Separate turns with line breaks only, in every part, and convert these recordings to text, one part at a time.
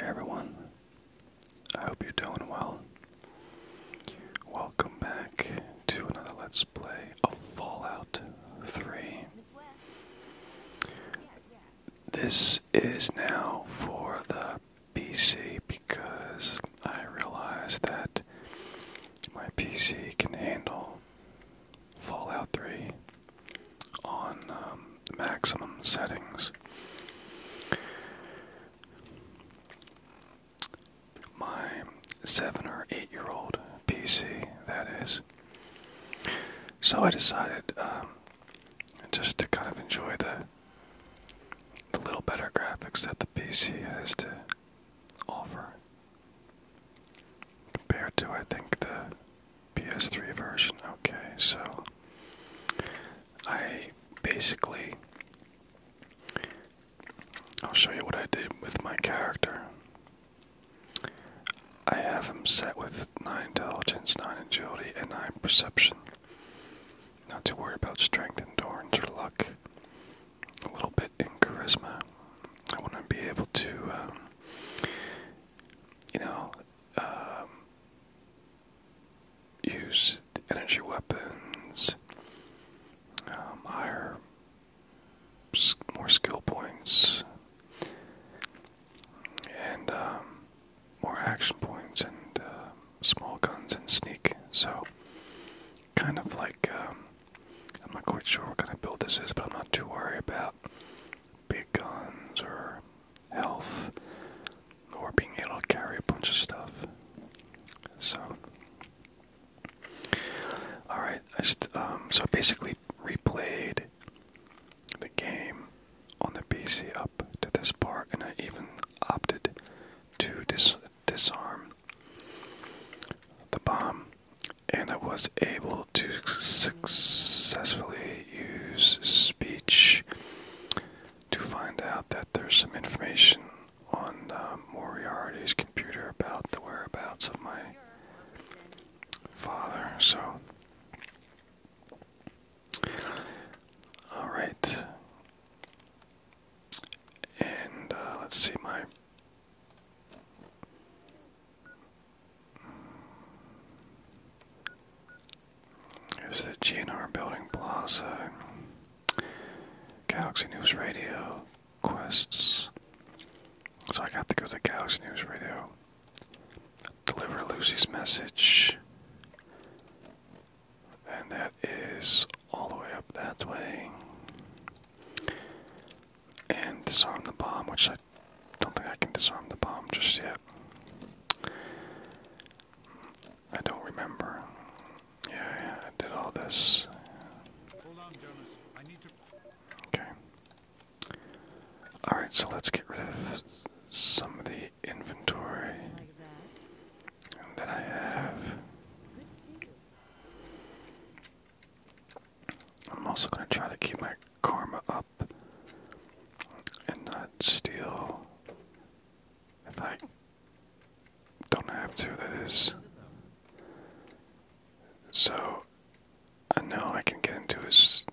everyone, I hope you're doing well. Welcome back to another Let's Play of Fallout 3. This is now for the PC because I realized that my PC can handle Fallout 3 on um, maximum settings. My seven or eight year old PC, that is. So I decided um, just to kind of enjoy the the little better graphics that the PC has to offer compared to I think the PS3 version. Okay, so I basically. I'll show you what I did with my character. I have him set with 9 intelligence, 9 agility, and 9 perception. Not too worried about strength, endurance, or luck. A little bit in charisma. I want to be able to, um, you know, um, use energy weapons, um, higher, more skill points, and um, more action points, and um, small guns and sneak. So, kind of like, I'm not quite sure what kind of build this is, but I'm not too worried about big guns or health or being able to carry a bunch of stuff. So, all right. I um, so basically replayed the game on the PC up to this part, and I even opted to disarm the bomb, and I was able to successfully use speech to find out that there's some information on um, Moriarty's computer about the whereabouts of my father. So, all right, and uh, let's see my. There's the GNR Building Plaza, Galaxy News Radio, Quests. So I got to go to Galaxy News Radio. Deliver Lucy's message. And that is all the way up that way. And disarm the bomb, which I don't think I can disarm the bomb just yet. I don't remember. Yeah, I did all this. Okay. Alright, so let's get rid of some of the inventory that I have. I'm also going to try to keep my karma up and not steal if I don't have to, that is. So, I know I can get into his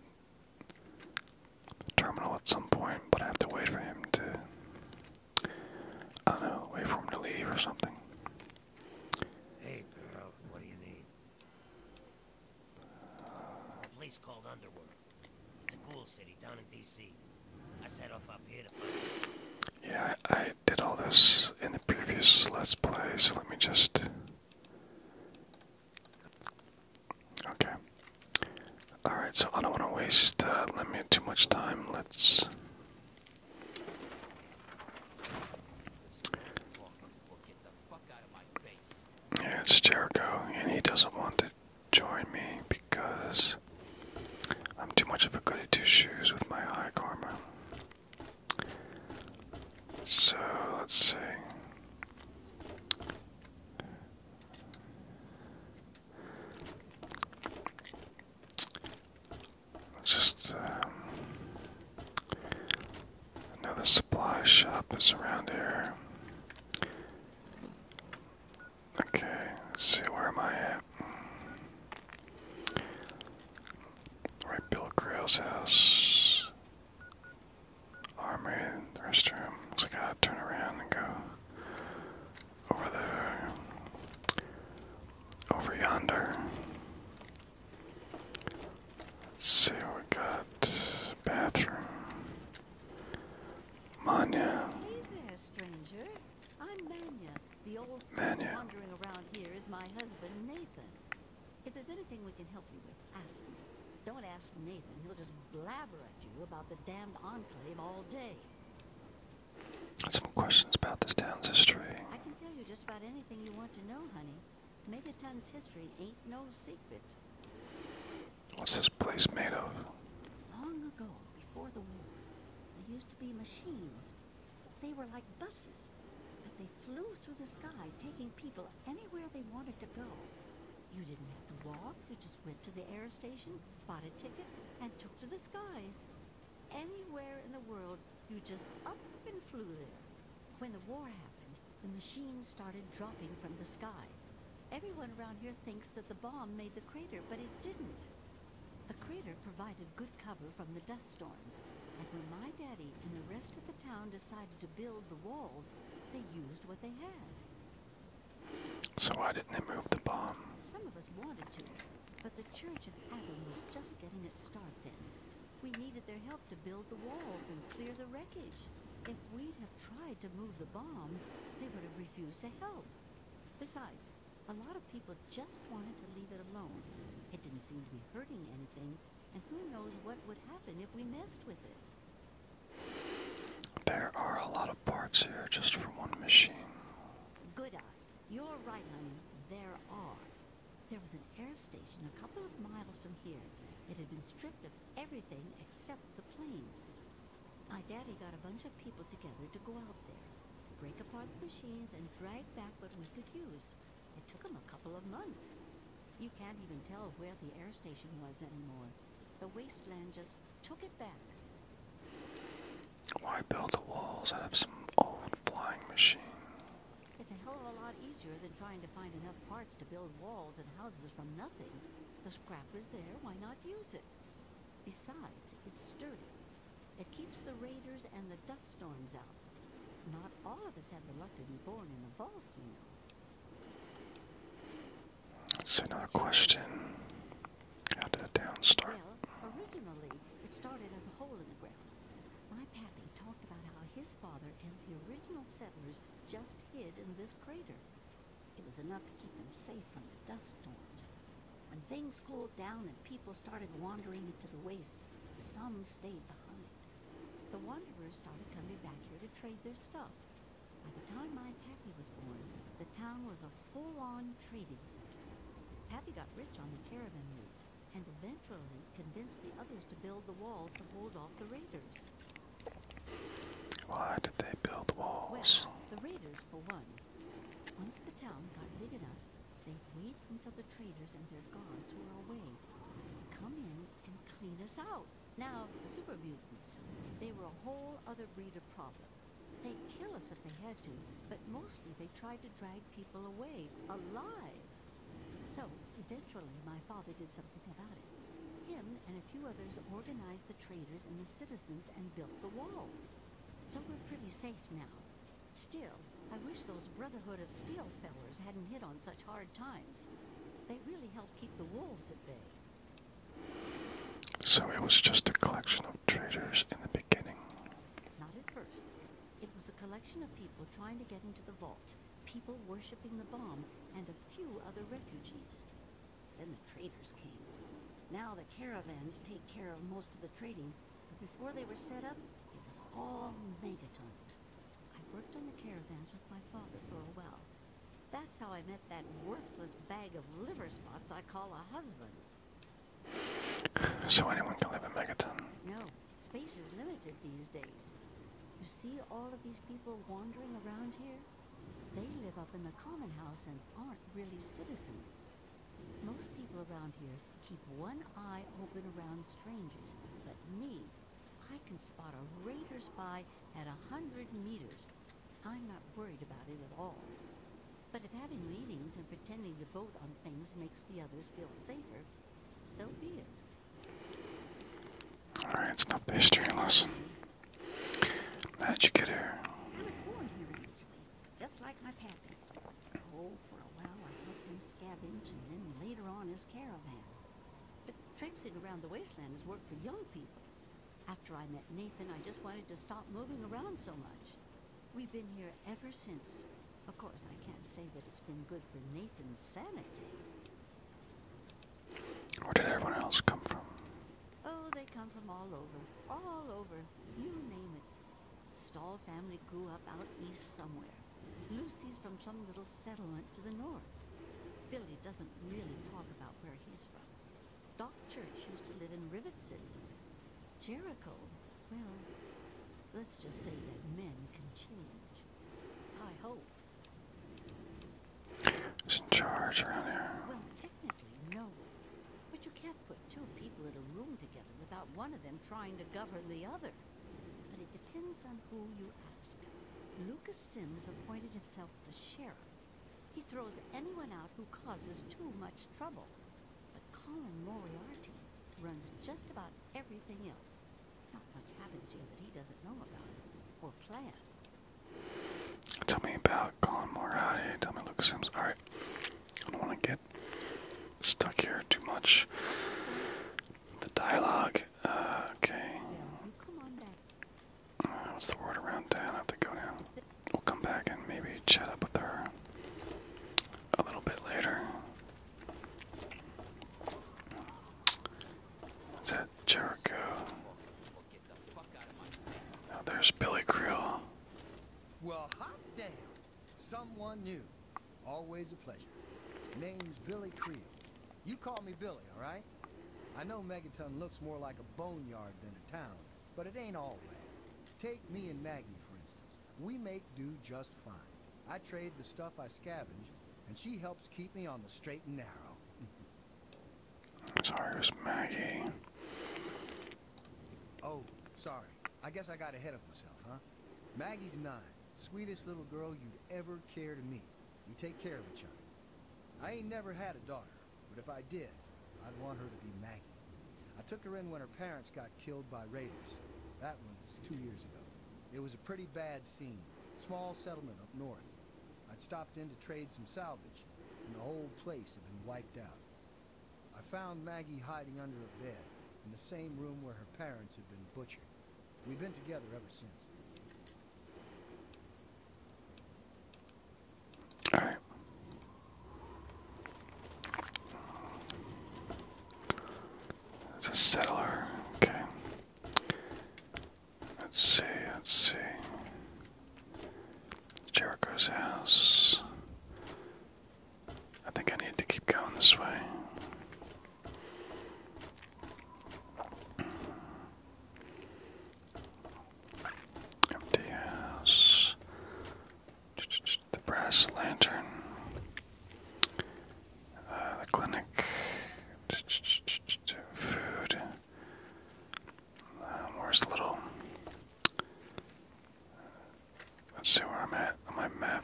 terminal at some point, but I have to wait for him to. I don't know, wait for him to leave or something. Hey, Perot, what do you need? Uh, Police called Underwood. It's a cool city down in D.C. I set off up here to find. Yeah, I, did all this in the previous Let's Play, so let me just. Okay. Alright, so I don't want to waste uh, let me too much time. Let's. Yeah, it's Jericho, and he doesn't want it join me because I'm too much of a goody two shoes with my high karma. So let's see. Just um, another supply shop is around here. Okay, let's see, where am I at? Mm. Right, Bill Grail's house. Armory, restroom. Looks I gotta turn around and go over there. Over yonder. see what we got. Bathroom.
Manya. Hey there, stranger. I'm Manya. The old Manya. wandering around here is my husband, Nathan. If there's anything we can help you with, ask me. Don't ask Nathan. He'll just blabber at you about the damned enclave all day. Some questions about this town's history. I can tell you just about anything you want to know, honey. Megaton's history ain't no secret. What's this place made of? Long ago, before the war, they used to be machines. They were like buses, but they flew through the sky, taking people anywhere they wanted to go. You didn't have to walk, you just went to the air station, bought a ticket, and took to the skies. Anywhere in the world, you just up and flew there. When the war happened, the machines started dropping from the sky. Everyone around here thinks that the bomb made the crater, but it didn't. The crater provided good cover from the dust storms, and when my daddy and the rest of the town decided to build the walls, they used what they had. So why didn't they move the bomb? Some of us wanted to, but the Church of Heaven was just getting its start then. We needed their help to build the walls and clear the wreckage. If we'd have tried to move the bomb, they would have refused to help. Besides, a lot of people just wanted to leave it alone. It didn't seem to be hurting anything, and who knows what would happen if we messed with it. There are a lot of parts here just for one machine. Good eye. You're right, honey. There are. There was an air station a couple of miles from here. It had been stripped of everything except the planes. My daddy got a bunch of people together to go out there, break apart the machines, and drag back what we could use. It took them a couple of months. You can't even tell where the air station was anymore. The wasteland just took it back.
Why oh, build the walls out of some old flying machine?
It's a hell of a lot easier than trying to find enough parts to build walls and houses from nothing. The scrap was there, why not use it? Besides, it's sturdy. It keeps the raiders and the dust storms out. Not all of us have the luck to be born in a vault, you know.
That's another question.
How did the town start? originally it started as a hole in the ground. My pappy talked about how his father and the original settlers just hid in this crater. It was enough to keep them safe from the dust storms. When things cooled down and people started wandering into the wastes, some stayed behind. The wanderers started coming back here to trade their stuff. By the time my Pappy was born, the town was a full-on trading center. Pappy got rich on the caravan routes, and eventually convinced the others to build the walls to hold off the raiders.
Why did they build walls?
the raiders for one. Once the town got big enough, they would wait until the traders and their guards were away. Come in and clean us out. Now, the super mutants, they were a whole other breed of problem. They'd kill us if they had to, but mostly they tried to drag people away, alive. So, eventually, my father did something about it. Him and a few others organized the traders and the citizens and built the walls. So we're pretty safe now. Still, I wish those Brotherhood of Steel fellers hadn't hit on such hard times. They really helped keep the wolves at bay. So it was just a collection of traitors in the beginning. Not at first. It was a collection of people trying to get into the vault, people worshipping the bomb, and a few other refugees. Then the traders came. Now the caravans take care of most of the trading, but before they were set up, it was all megaton. I worked on the caravans with my father for a while. That's how I met that worthless bag of liver spots I call a husband. So anyone can live in Megaton? No, space is limited these days. You see all of these people wandering around here? They live up in the common house and aren't really citizens. Most people around here keep one eye open around strangers, but me, I can spot a raider spy at a hundred meters. I'm not worried about it at all. But if having meetings and pretending to vote on things makes the others feel safer, so be it. Alright, it's not the history lesson. How did you get here? I was born here, just like my pappy. Oh, for a while I helped him scavenge, and then later on his caravan. But tramping around the wasteland has worked for young people. After I met Nathan, I just wanted to stop moving around so much. We've been here ever since. Of course, I can't say that it's been good for Nathan's sanity. Where did everyone else come from? Oh, they come from all over. All over you name it. Stahl family grew up out east somewhere. Lucy's from some little settlement to the north. Billy doesn't really talk about where he's from. Doc Church used to live in Rivet City. Jericho, well, let's just say that men can change. I hope. Who's in charge around here? Well, technically, no. But you can't put two people in a room together without one of them trying to govern the other. But it depends on who you ask. Lucas Sims appointed himself the sheriff. He throws anyone out who causes too much trouble. But Colin Moriarty runs just about everything else. Not much happens here that he doesn't know about or plan.
Tell me about Colin Moriarty. Tell me Lucas Sims. All right. I don't want to get stuck here too much. The dialogue. Uh, okay. Uh, what's the word around town? I have to go down. We'll come back and maybe chat up with her a little bit later. Is that Jericho?
Oh, there's Billy Creel. Well, hot damn. Someone new. Always a pleasure. Name's Billy Creel. You call me Billy, all right? I know Megaton looks more like a boneyard than a town, but it ain't all bad. Take me and Maggie, for instance. We make do just fine. I trade the stuff I scavenge, and she helps keep me on the straight and narrow. Sorry, Maggie. Oh, sorry. I guess I got ahead of myself, huh? Maggie's nine. Sweetest little girl you'd ever care to meet. We take care of each other. I ain't never had a daughter, but if I did, I'd want her to be Maggie. I took her in when her parents got killed by raiders. That was two years ago. It was a pretty bad scene. Small settlement up north. I'd stopped in to trade some salvage, and the whole place had been wiped out. I found Maggie hiding under a bed in the same room where her parents had been butchered. We've been together ever since. All right.
It's a settler. Okay. Let's see. Let's see. Jericho's house. I think I need to keep going this way. Empty house. The brass lantern. Uh, the clinic. Food. Um, little Let's see where I'm at on my map.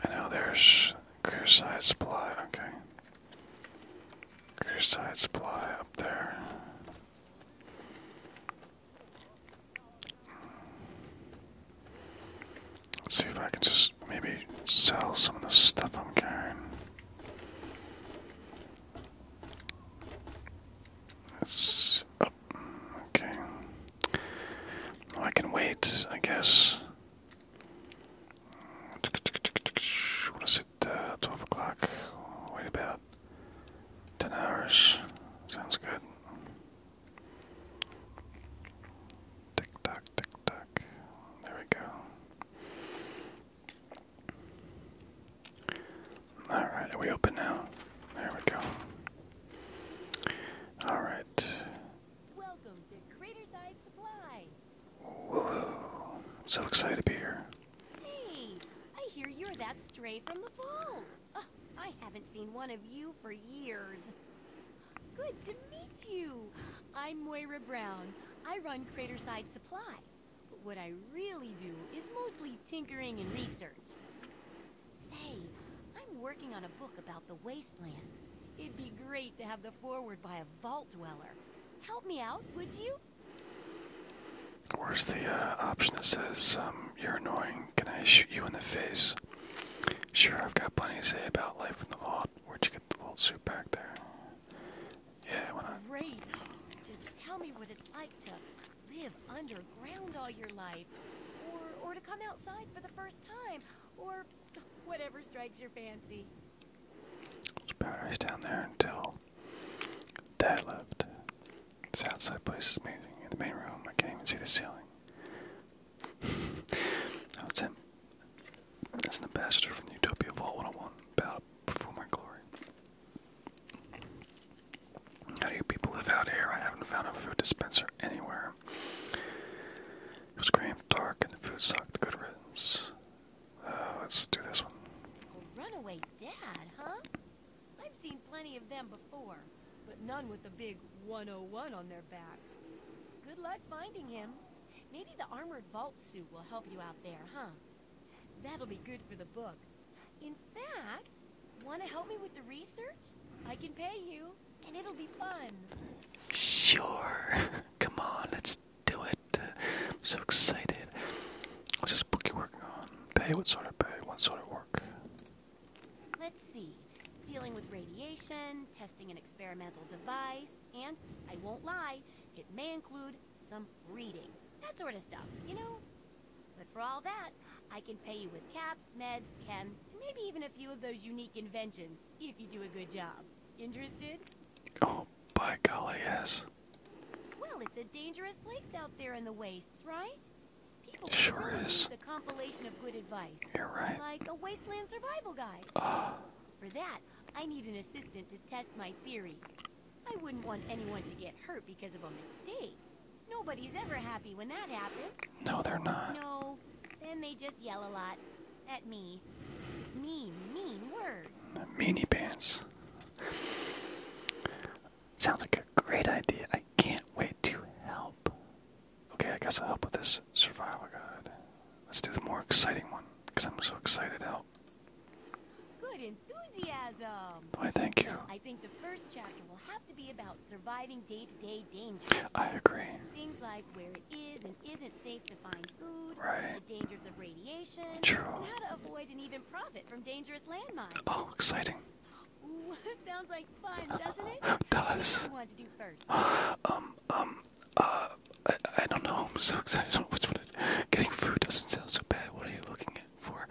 I know there's clear supply. Okay. Clear supply up there. Let's see if I can just maybe sell some of the stuff I'm carrying. It's up. okay. I can wait, I guess. What is it? Uh, 12 o'clock. Wait about 10 hours. Sounds good. Tick tock, tick tock. There we go. Alright, are we open now? There we go. Alright. Welcome to So excited to be here.
Hey, I hear you're that stray from the vault. I haven't seen one of you for years. Good to meet you. I'm Moira Brown. I run Craterside Supply. But what I really do is mostly tinkering and research. Say, I'm working on a book about the wasteland. It'd be great to have the foreword
by a vault dweller.
Help me out, would
you? Where's the uh, option that says, um, you're annoying, can I shoot you in the face? Sure, I've got plenty to say about life in the vault. Where'd you get the vault suit back there?
Yeah, I why not? Great. Just tell me what it's like to live underground all your life, or or to come outside for the first time, or whatever strikes your fancy. There's batteries down there until
Dad left. This outside place is amazing. In the main room, I can't even see the ceiling. I was sent as an ambassador from the Utopia Vault 101 Battle Before My Glory. How do you people live out here? I haven't found a food dispenser anywhere. It was cramped, dark, and the food sucked. Good riddance. Uh, let's do this one. runaway dad, huh?
I've seen plenty of them before, but none with the big 101 on their back. Good luck finding him. Maybe the armored vault suit will help you out there, huh? That'll be good for the book. In fact, want to help me with the research? I can pay you, and it'll be fun.
Sure. Come on, let's do it. I'm so excited. What's this book you're working on? Pay? What sort of pay? What sort of work?
Let's see. Dealing with radiation, testing an experimental device, and, I won't lie, it may include some reading. That sort of stuff, you know? But for all that, I can pay you with caps, meds, chems, and maybe even a few of those unique inventions, if you do a good job. Interested? Oh,
by golly, yes.
Well, it's a dangerous place out there in the wastes, right? People sure is. It's a compilation of good advice. You're right. Like a wasteland survival guide. For that, I need an assistant to test my theory. I wouldn't want anyone to get hurt because of a mistake. Nobody's ever happy when that happens. No, they're not. No, then they just yell a lot at me. Mean, mean
words. Meanie pants. Sounds like a great idea. I can't wait to help. Okay, I guess I'll help with this survival guide. Let's do the more exciting one, because I'm so excited to help.
Good enthusiasm. Why, thank you. I think the first chapter will have to be about surviving day-to-day dangers. I agree. Things like where it is and isn't safe to find food, right. the dangers of radiation, True. how to avoid and even profit from dangerous landmines. Oh, exciting. Ooh, sounds like fun, doesn't it? does. What do you want to do
first? um, um, uh, I, don't know. I'm so excited. Getting food doesn't sound so bad. What are you looking for?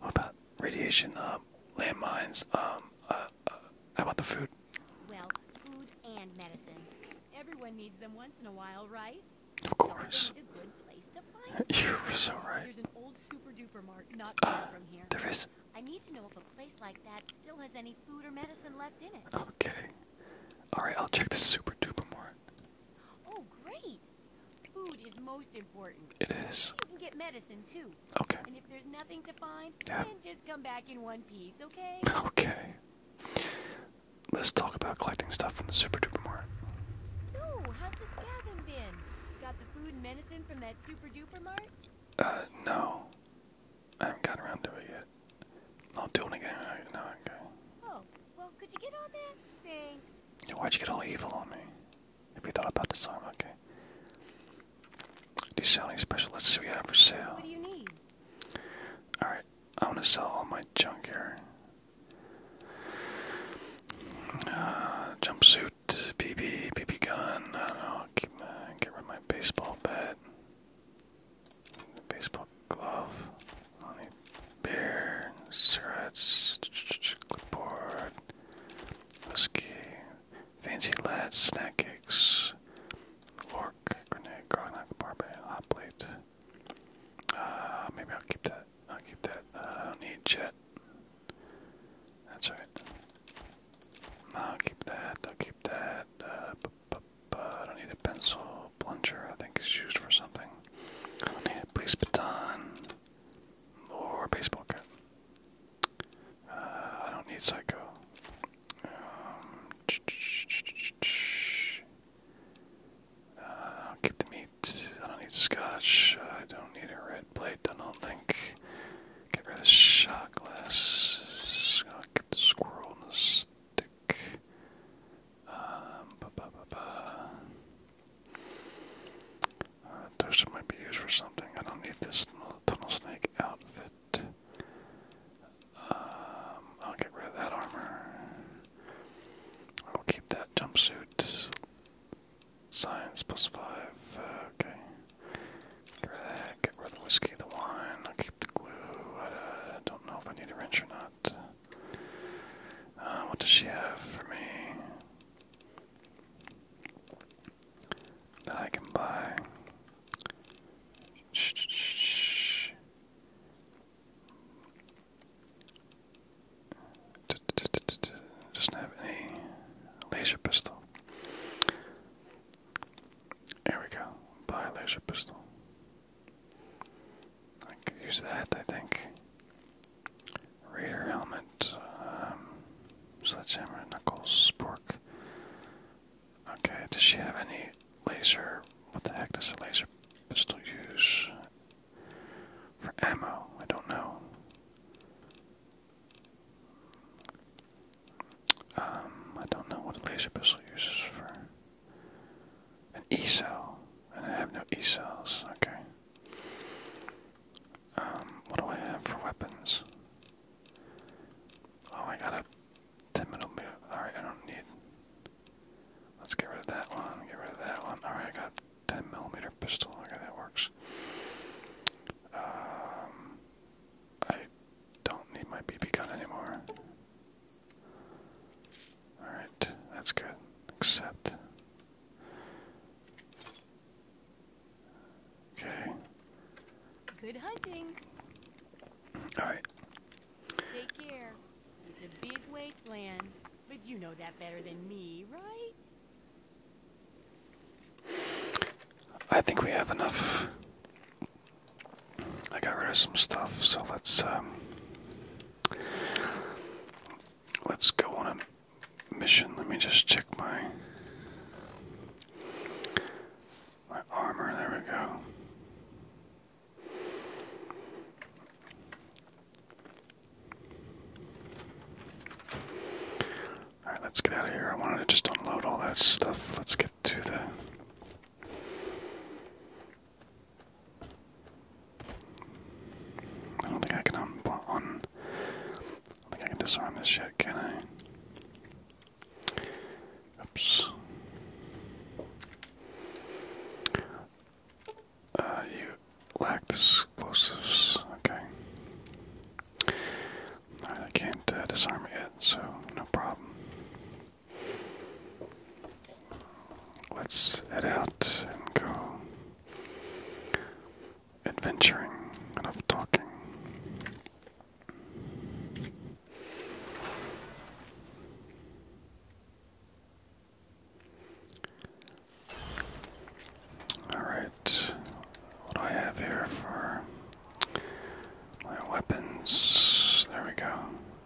What about radiation? Um, landmines. Um, uh, uh, how about the food?
Well, food and medicine. Everyone needs them once in a while, right? Of course. You're so right. There's an old super duper mart not uh, far from here. There is. I need to know if a place like that Still has any food or medicine left in it. Okay.
Alright, I'll check the super duper mart.
Oh great! Food is most important. It is. You can get medicine too. Okay. And if there's nothing to find, yeah. then just come back in one piece, okay? Okay.
Let's talk about collecting stuff from the super duper mart.
So, how's the scavenging been? Got the food and medicine from that super duper mart? Uh, no. I haven't gotten around to it yet.
I'll do it again. No, okay. Oh, well, could you get on that? why'd you get all evil on me? Have you thought about the arm? Okay. Do you sell any special? Let's see what we have for sale. What do you need? Alright, I want to sell all my junk here. Uh, jumpsuit, BB, BB gun, I don't know, keep get rid of my baseball bat. Baseball glove. beer, Bear. Cigarettes. Clipboard. Whiskey. Fancy lads. Snack cakes. Lork. Grenade. Grognut. Barbet. Hot plate. Uh, maybe I'll keep that. I'll keep that. Uh, I don't need jet. That's right. I'll keep that. I'll keep that. Uh, I don't need a pencil. Plunger, I think, is used for something. I don't need a baton or baseball cap. Uh, I don't need psycho. Um, uh, I'll keep the meat. I don't need scotch. I don't need a red blade. I don't think. Get rid of the shot glass. I'll keep the squirrel and the Celtic. Um, uh, toaster might be used for something. I don't need this tunnel snake outfit. Um, I'll get rid of that armor. I will keep that jumpsuit. Science plus five. Uh, okay. Get rid of the whiskey, the wine the glue. Uh, I don't know if I need a wrench or not. Uh, what does she have for me that I can buy? shh. Doesn't have any laser pistol. There we go. Buy a laser pistol. use that, I think. Raider helmet, um, sledgehammer, knuckles, spork. Okay, does she have any laser? What the heck does a laser pistol use for ammo? I don't know. Um, I don't know what a laser pistol uses for. An E cell. And I have no E cells. Okay. Um, what do I have for weapons? Oh, I got a 10 millimeter. Alright, I don't need. Let's get rid of that one. Get rid of that one. Alright, I got 10 millimeter pistol. Okay, that works. Um, I don't need my BB gun anymore. Alright, that's good. Except,
Okay. Good hunting. Alright. Take care. It's a big wasteland, but you know that better than me, right?
I think we have enough I got rid of some stuff, so let's um, let's go on a mission. Let me just check my my armor. There we go. All right, let's get out of here. I wanted to just unload all that stuff. Let's get to the I don't think I can um, un on. I think I can disarm this shit, can I? Oops. Uh, you lack the explosives. Okay. Alright, I can't uh, disarm it yet, so no problem. Let's head out and go adventuring. Enough talking. Alright, what do I have here for my weapons? There we go.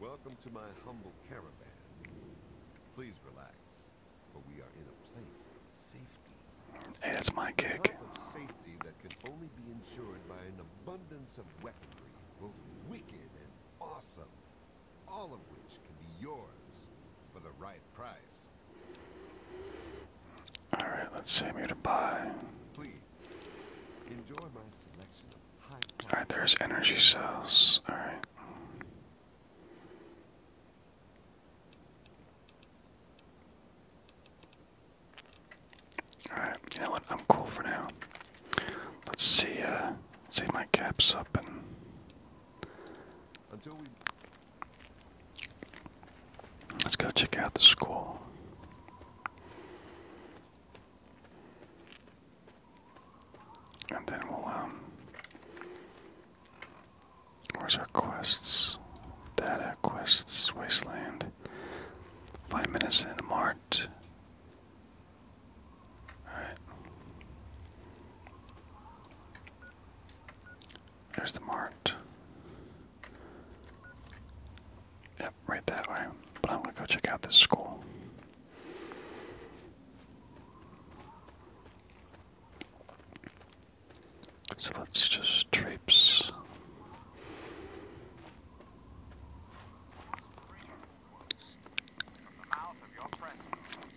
Welcome to my humble caravan. Please relax, for we are in a place of safety. Hey, that's my kick. of safety that can only be ensured by an abundance of weaponry, both wicked and awesome, all of which can be yours for the right price.
All right, let's see. i to
buy.
Alright, there's energy cells. Alright. Alright, you know what? I'm cool for now. Let's see, uh, see my caps up and. Let's go check out the school. And then we'll, um. Where's our quests? Data, quests, wasteland. Five minutes in the mart. Alright. There's the mart. Yep, right that way. But I'm to go check out this school. So let's just traipse.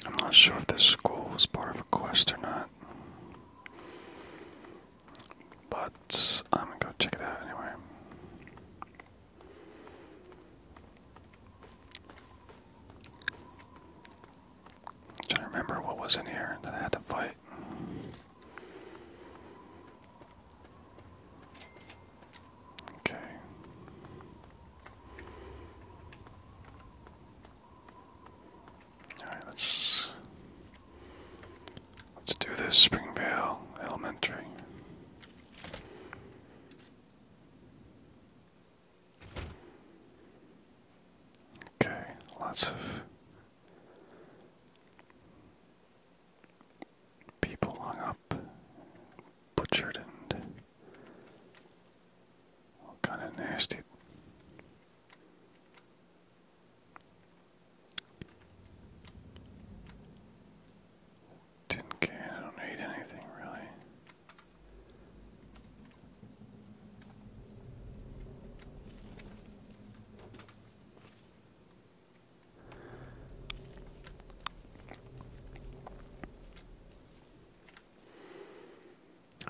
I'm not sure if this school is part of a quest or not. But I'm gonna go check it out anyway. I'm trying to remember what was in here that I had to fight. Okay. Alright, let's let's do this Springvale Elementary. Okay, lots of people hung up, butchered, and kind of nasty tin can. I don't need anything really.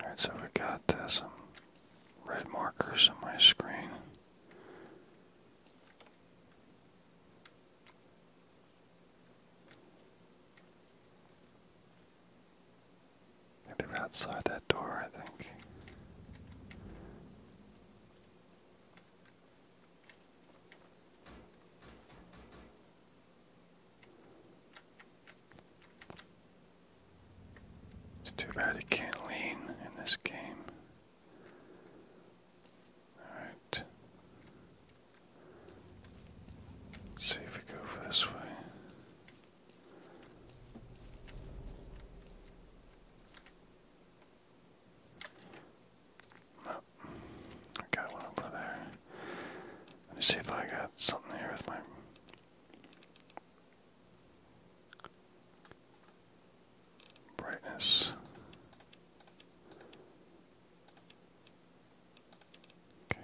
Alright, so we got uh, red markers on my screen. They were outside that door, I think. It's too bad he can't lean in this game. Alright. See if we go over this way. No. I got one over there. Let me see if I got something here with my brightness. Okay.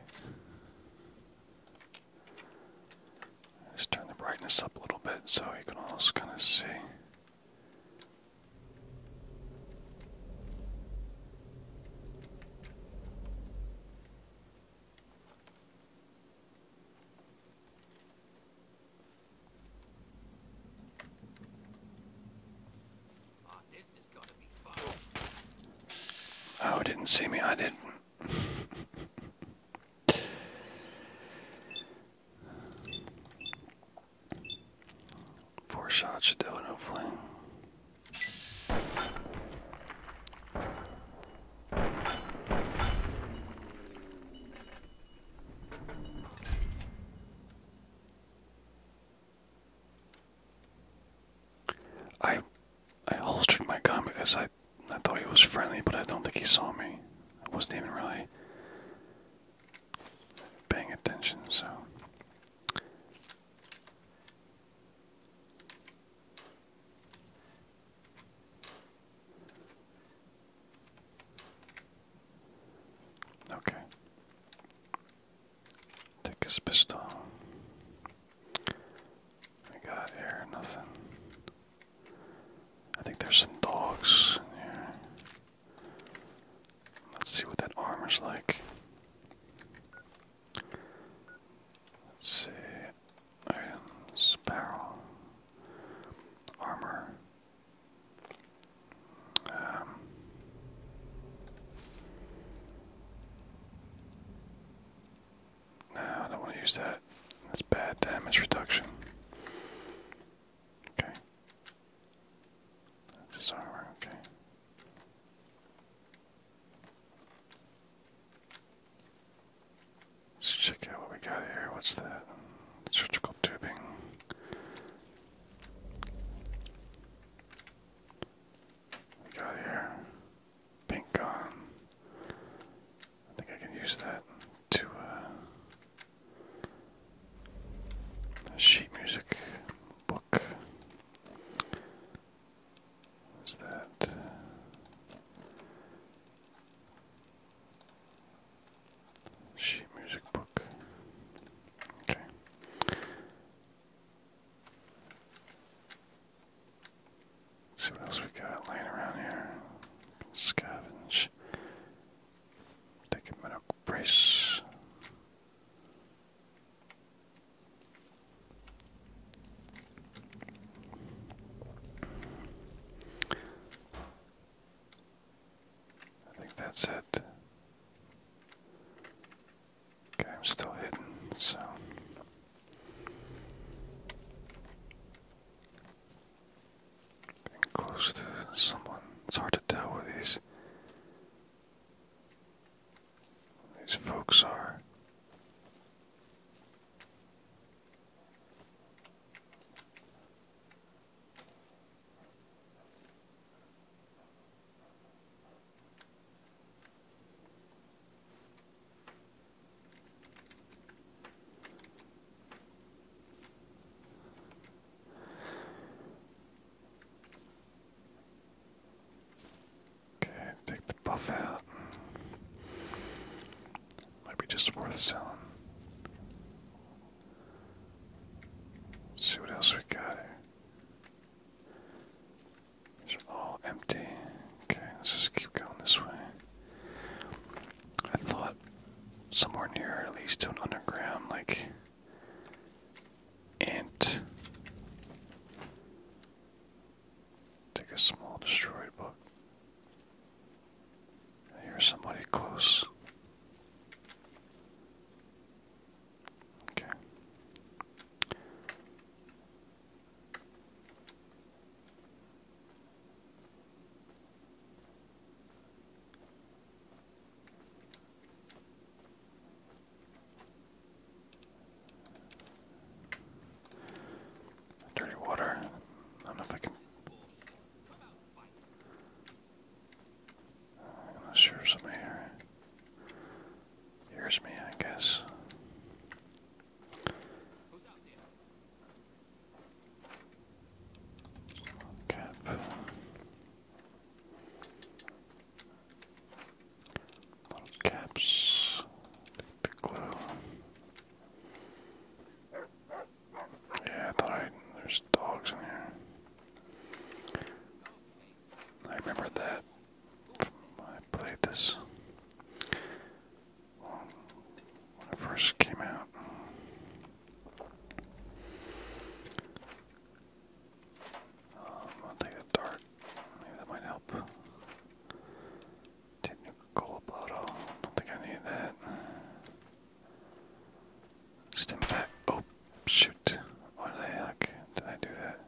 Just turn the brightness up a little bit so you can almost kind of see. Ah, Oh, didn't see me. I didn't. Four shots should do it, hopefully. I I holstered my gun because I I thought he was friendly, but I don't think he saw me. I wasn't even really paying attention, so Okay. Take his pistol. We got here, nothing. I think there's some dogs in here. Let's see what that armor's like. see. Items, barrel, armor. Um, no, I don't want to use that. That's bad damage reduction. Okay. That's his armor, okay. Let's check out what we got here. What's that? Surgical tubing. We got here. Pink gone. I think I can use that to uh, sheet music book. Is that sheet music book? Okay. See what else we got laying around here. Scavenge. Take a medical brace. I think that's it. Okay, I'm still hidden, so. Getting close to someone. It's hard to tell where these where these folks are. Okay, take the buff out. Might be just worth selling. see what else we got here. These are all empty. Okay, let's just keep going this way. I thought somewhere near at least to an underground like ant. Take a small destroyed book. I hear somebody close. Okay. Dirty water. I don't know if I can. I'm not sure here. Here's me, I guess. Cap. caps. the glue. Yeah, I thought I. There's dogs in here. I remember that. I played this um, when it first came out. Um, I'll take a dart. Maybe that might help. Technical bottle. Don't think I need that. Just impact. Oh, Shoot. What the heck did I do that?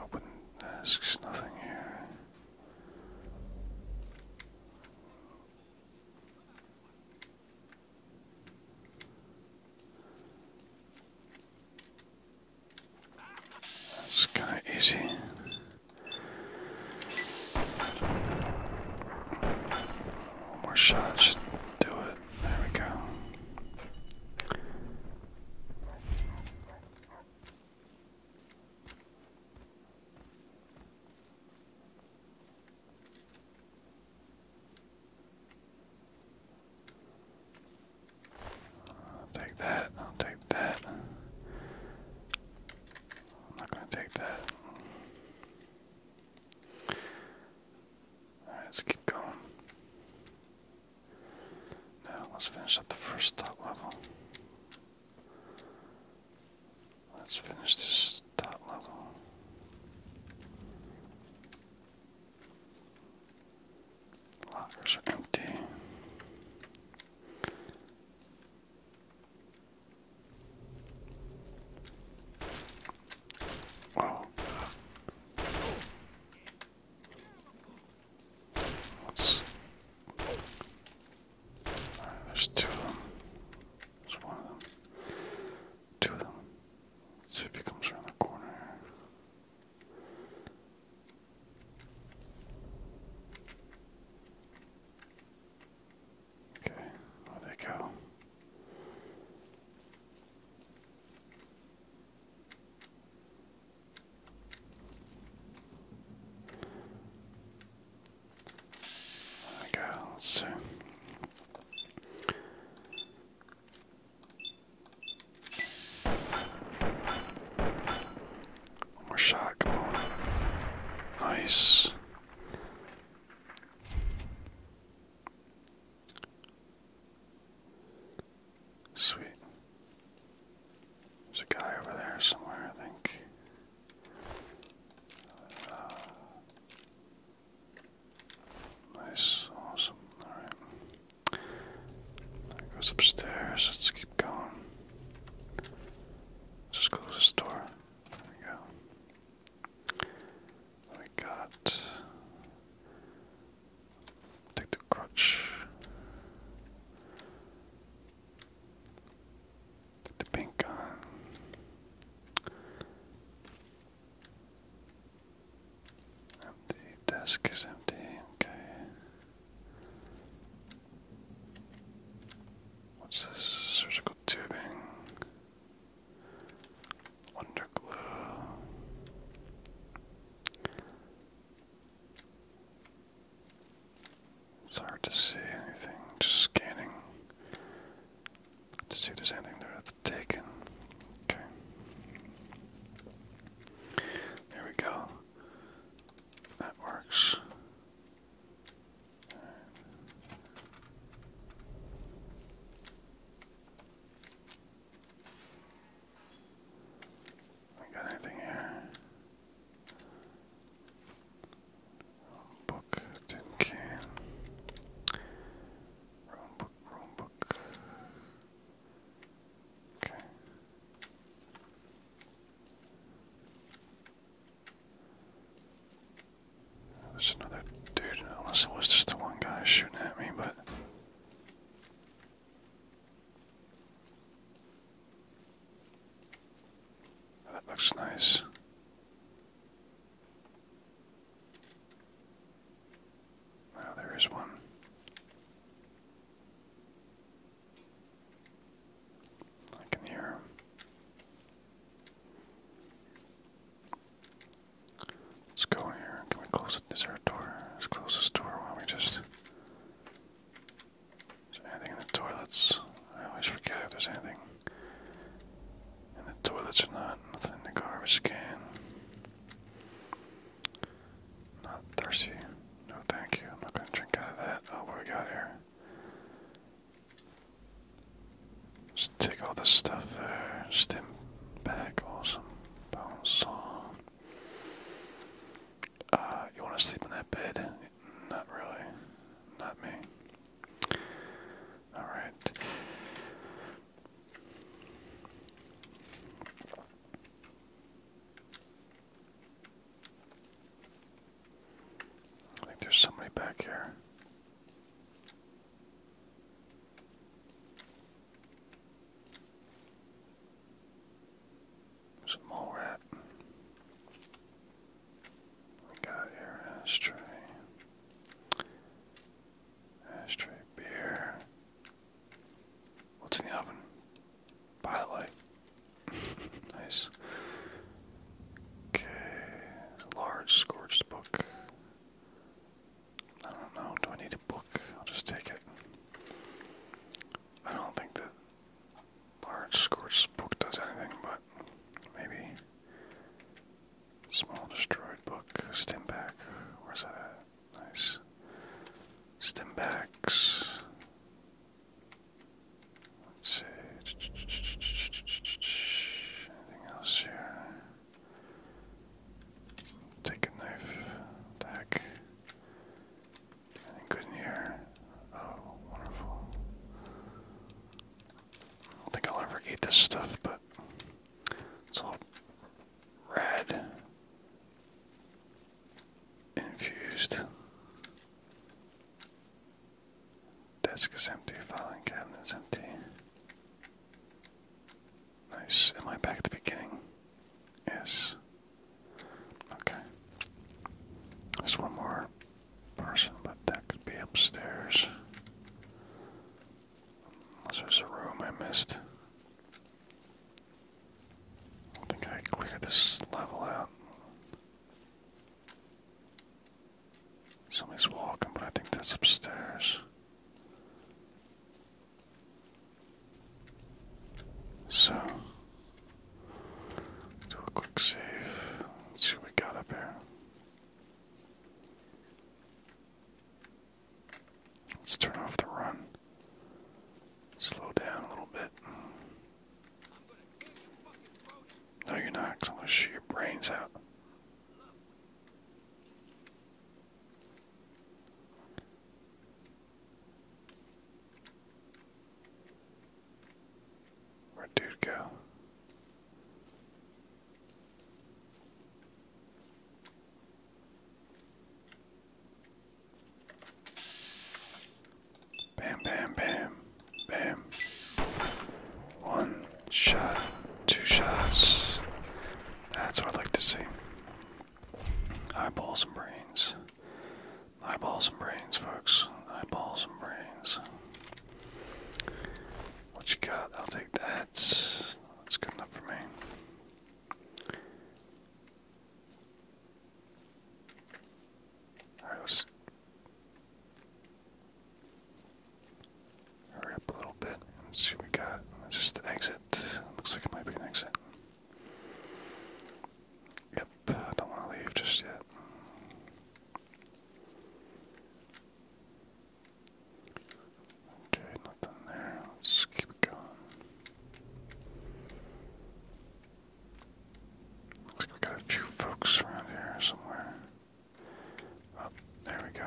Open asks nothing here. That's kind of easy. One more shot should do it. There we go. I'll take that. I'll take that. not going to take that. right, let's keep going. Now let's finish up the first thought level. Let's finish this top level. lockers are empty. Whoa. There's two of them. There's one of them. Two of them. see if he comes around the corner. Okay, where they go? Okay, let's see. more shot, come on. Nice. Sweet. There's a guy over there somewhere, I think. Uh, nice, awesome. Alright. goes upstairs. Let's keep going. Just close this door. There we go. We got take the crutch the pink on. Uh, empty desk is empty. Okay. What's this? Surgical tubing. Wonder glue. It's hard to see anything, just scanning to see if there's anything there that's taken. Okay. There we go. That works. We got anything here? Book, tin can. Wrong book, wrong book. Okay. There's another dude, unless it was just the one guy shooting at me, but. That looks nice. Now there is one. I can hear him. Let's go in here. Can we close it? Is door? Let's close this door while we just is there anything in the toilets? I always forget if there's anything in the toilets or not. Nothing in the garbage can. Not thirsty. No, thank you. I'm not going to drink out of that. Oh, what we got here? Just take all this stuff there. Stim back. Awesome. Bone saw. Uh, you want to sleep in that bed? Not really. Not me. Alright. I think there's somebody back here. There's rat got your ashtray. Ashtray beer. What's in the oven? Pilot. nice. Okay. Large scorched book. I don't know. Do I need a book? I'll just take it. I don't think that large scorched book does anything, but maybe small destroyed book, Stem back. where's that at? Nice. Stimbacks. Let's see. Anything else here? Take a knife. The Anything good in here? Oh, wonderful don't think I'll ever eat this stuff, but it's all red infused. Desk is empty, filing cabinet is empty. Nice. Am I back at the beginning? Yes. Okay. There's one more person, but that could be upstairs. Unless there's a room I missed. I think I cleared this level out. Somebody's walking, but I think that's upstairs. So, do a quick save. see what we got up here. Let's turn off the run. Slow down a little bit. No, you're not, because I'm going to shoot your brains out. Where'd dude go? Bam, bam, bam, bam. One shot, two shots. That's what I'd like to see. Eyeballs and brains. Eyeballs and brains, folks. Eyeballs and brains. What you got? I'll take that. That's good enough for me. Alright, let's a little bit and see what we got. just the exit. Looks like it might be an exit. Yep, I don't want to leave just yet. Okay, nothing there. Let's keep going. Looks like we got a few folks around here somewhere. Oh, there we go.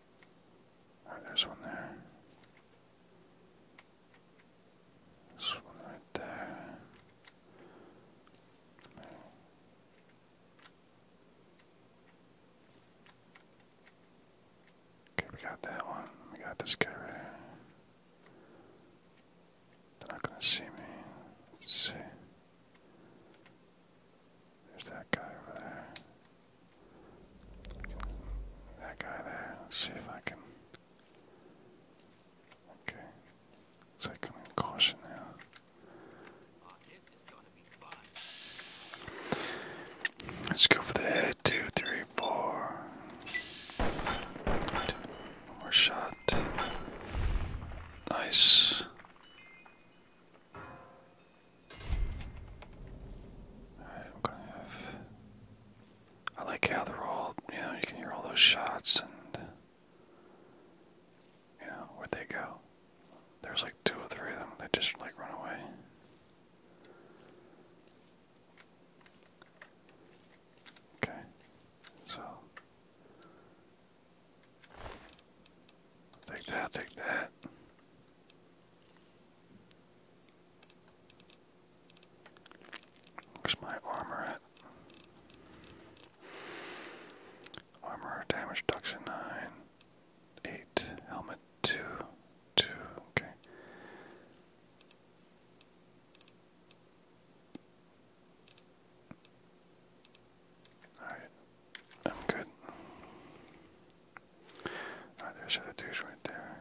there's one there. This one right there. Okay, we got that one. We got this guy right here. They're not gonna see me. Let's see. There's that guy over there. That guy there. Let's see if I can. Okay. So I come in caution now. Let's go for the head. Two, three, four. Good. One shot. Nice i like how they're all, you know, you can hear all those shots and. You know, where they go? There's like two or three of them that just like run away. Okay, so. Take that, take that. Where's my armor at? Armor damage reduction 9. 8. Helmet 2. 2. Okay. Alright. I'm good there's the douche right there.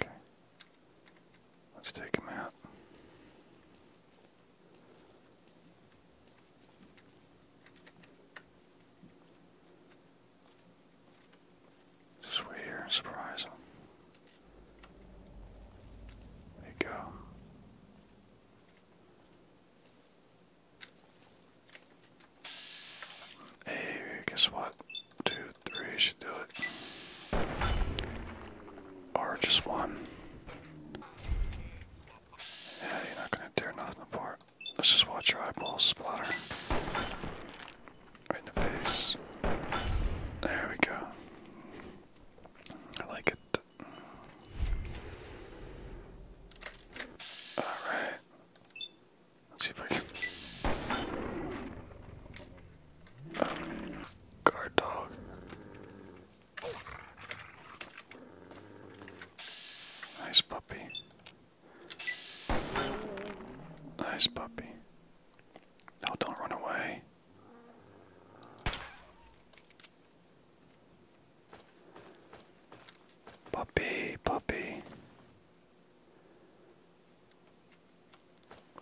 Okay. Let's take him out. Just wait here and surprise him. There you go. Hey, guess what? Two, three should do it. Or just one. Yeah, you're not gonna tear nothing apart. Let's just watch your eyeballs splatter. Right in the face. There we go. I like it. Alright. Let's see if I can. Um, guard dog. Nice puppy. Nice puppy. No, don't run away. Puppy, puppy.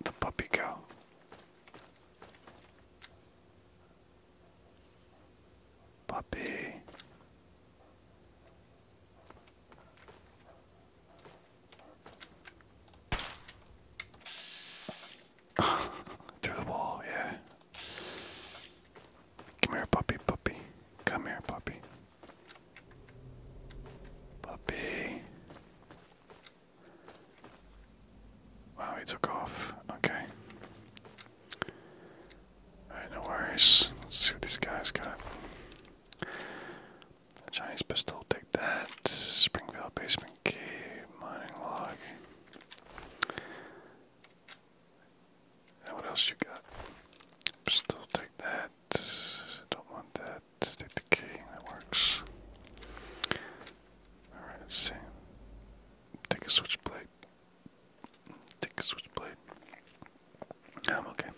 The puppy go. Puppy. Through the wall, yeah. Come here, puppy, puppy. Come here, puppy. Puppy. Wow, he took off. Okay. Alright, no worries. Let's see what these guys got. Chinese pistol, take that. Springfield basement key, mining log. And what else you got? Still take that. Don't want that. Take the key. That works. Alright, let's see. Take a switchblade. Take a switchblade. I'm okay.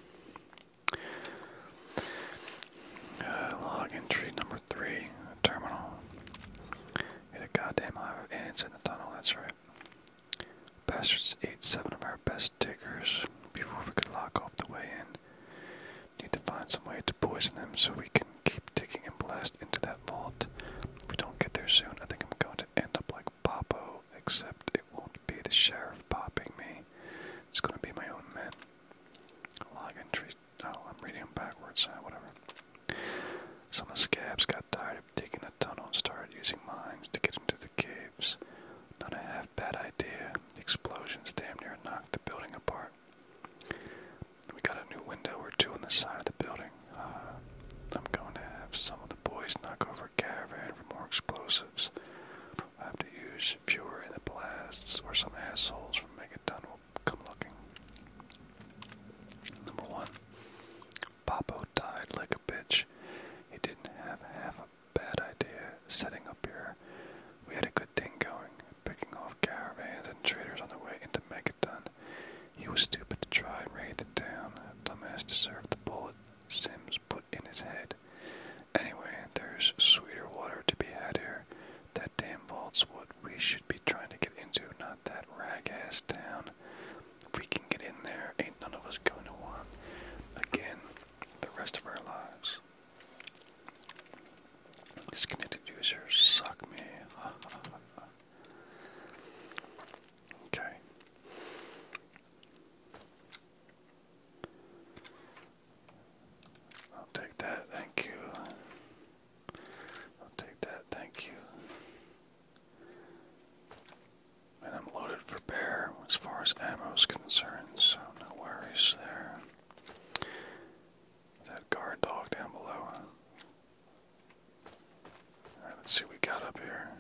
Uh, log entry number three, terminal. Hit a goddamn highway. And it's in the tunnel, that's right. Bastards ate seven of our best diggers before we could lock off the way in. Need to find some way to poison them so we can keep digging and blast into that vault. If we don't get there soon, I think I'm going to end up like Popo, except it won't be the sheriff popping me. It's going to be my own men. Log entry. Oh, I'm reading them backwards. Ah, whatever. Some of the scabs got tired of digging the tunnel and started using mines to get into the caves. Not a half bad idea. The explosions damn near knocked the building apart. We got a new window or two on the side of the building. Uh, I'm going to have some of the boys knock over a caravan for more explosives. I have to use fewer in the blasts, or some assholes from Megaton will come looking. Number one, Popo died like a bitch. He didn't have half a bad idea setting up here. We had a good thing going, picking off caravans and traders on the way into Megaton. He was stupid to try and raid the town. Dumbass deserved the bullet Sims put in his head. Anyway, there's sweeter water to be had here. That damn vault's what we should be trying to get into, not that rag-ass town. If we can get in there, ain't none of us going to want. Again, the rest of our lives. Disconnected users suck me. okay. I'll take that, thank you. I'll take that, thank you. And I'm loaded for bear as far as ammo is concerned, so no worries there. That guard dog down below. Alright, let's see what we got up here.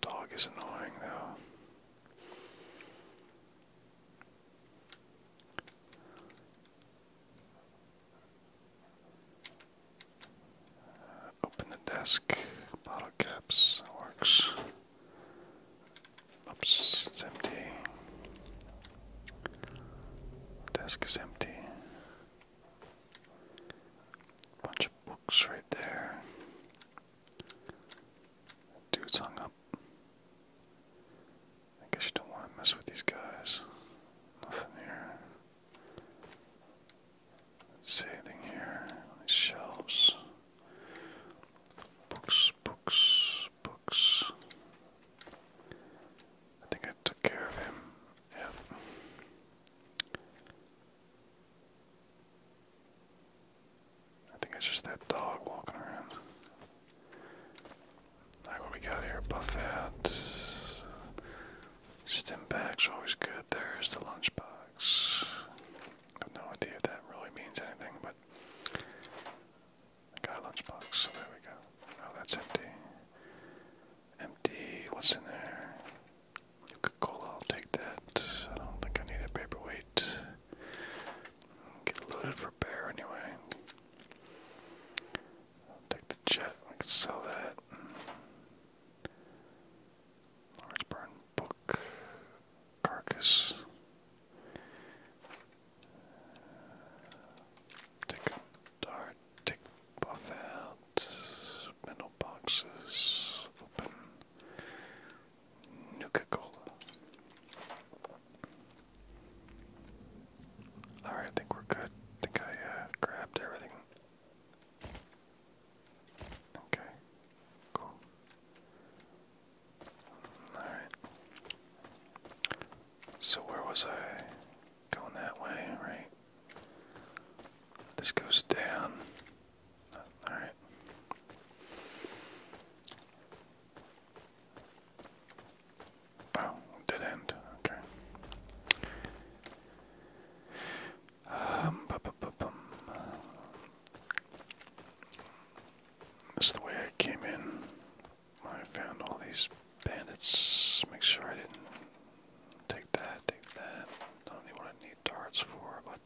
Dog is annoying though open the desk. Bottle caps works. Oops, it's empty. Desk is empty. Bunch of books right there. Dude's hung up. I guess you don't want to mess with these guys. Nothing here. let anything here. shelves. Books, books, books. I think I took care of him. Yep. I think it's just that dog walking around. Alright, what we got here? Buffet. Stim bag's always good. There's the lunchbox. I have no idea if that really means anything, but got a lunchbox, so there we go. Oh, that's empty. Empty. What's in there? Coca Cola, take that. I don't think I need a paperweight. Get loaded bear anyway. i take the jet. can sell that. Large burn book carcass. Take dart. Take buff Metal boxes. Open. Nuka Alright, I think we're good. I think I uh, grabbed everything. Okay, cool. Alright. So, where was I? Going that way, right? This goes down. Alright. Oh, dead end. Okay. Um, This is the way I came in. I found all these bandits. Make sure I didn't take that, take that. Don't need what I need darts for, but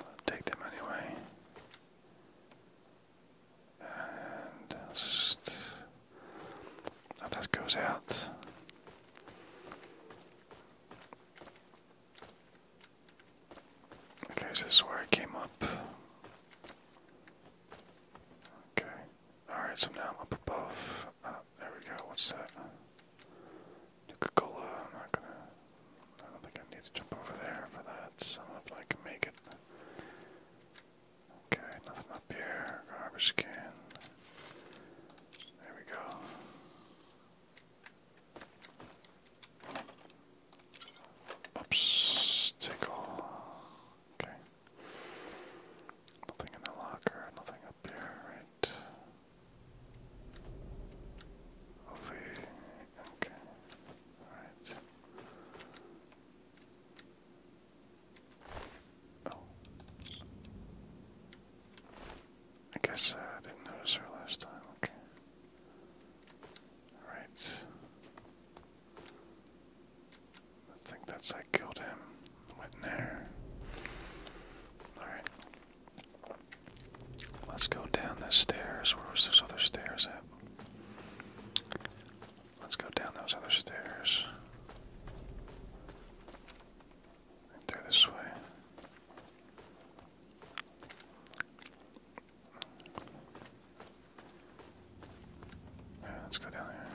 I'll take them anyway. And just oh, that goes out. Okay, so this is where I came up. Okay. Alright, so now I'm up above. Uh, there we go. What's that? Coca Cola. I'm not gonna. I don't think I need to jump over there for that. I if I can make it. Okay, nothing up here. Garbage can. There we go. Oops, Okay. Nothing in the locker, nothing up here, right? okay. Alright. Oh. I guess uh, I didn't notice her last time. Okay. Alright. I think that's I killed him. Went there. Alright. Let's go down the stairs. Where was this other stairs at? Let's go down those other stairs. Right this way. let's go down there.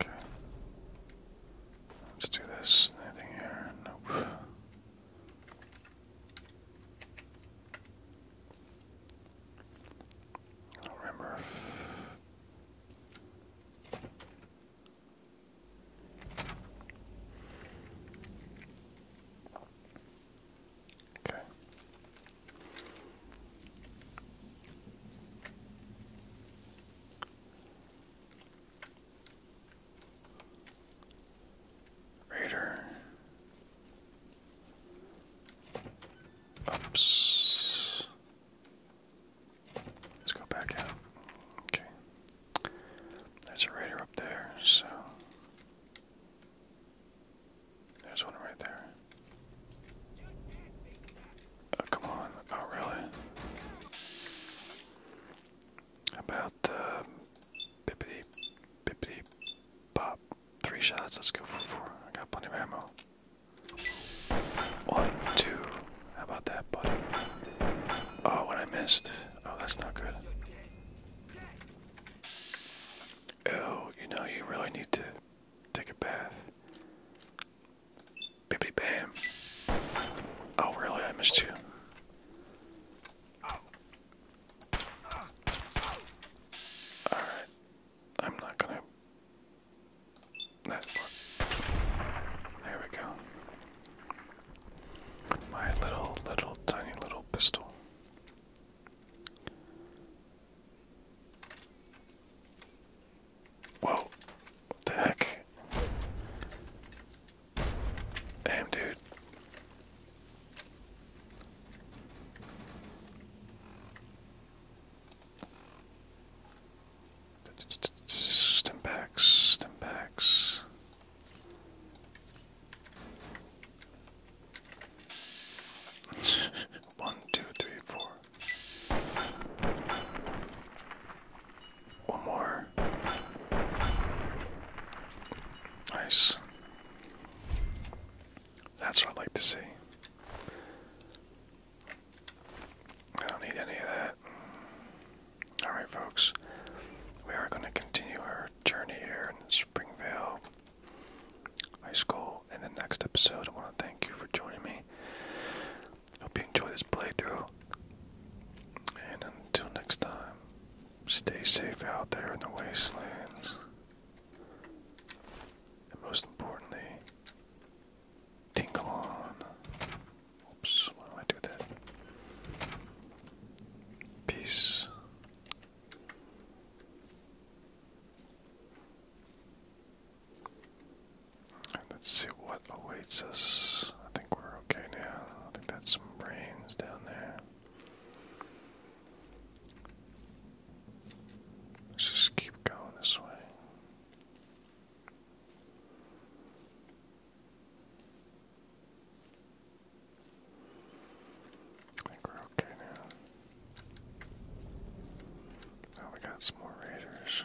Okay. Let's do this. Anything here? Nope. I don't remember Okay. Raider. Oops. Let's go back out. Okay. There's a raider up there, so. There's one right there. Oh, come on. Oh, really? About, uh, Bippity, bippity, pop. Three shots, let's go for four. I got plenty of ammo. One, two. How about that, buddy? Oh, what I missed. Oh, that's not good. Oh, you know, you really need to take a bath. Bippity bam. Oh, really? I missed you. Alright. I'm not gonna. That worked. There we go. My little, little, tiny little pistol. Whoa. What the heck? Damn, dude. Stem backs, stem backs. One, two, three, four. One more. Nice. That's what I'd like to see. I don't need any of that. Alright, folks. We are going to continue our journey here in Springvale High School in the next episode. I want to thank you for joining me. Hope you enjoy this playthrough. And until next time, Stay safe out there in the wastelands. And most importantly, tingle on. Oops, why do I do that? Peace. let's see what awaits us. I think we're okay now. I think that's some brains down there. Let's just keep going this way. I think we're okay now. Now we got some more raiders.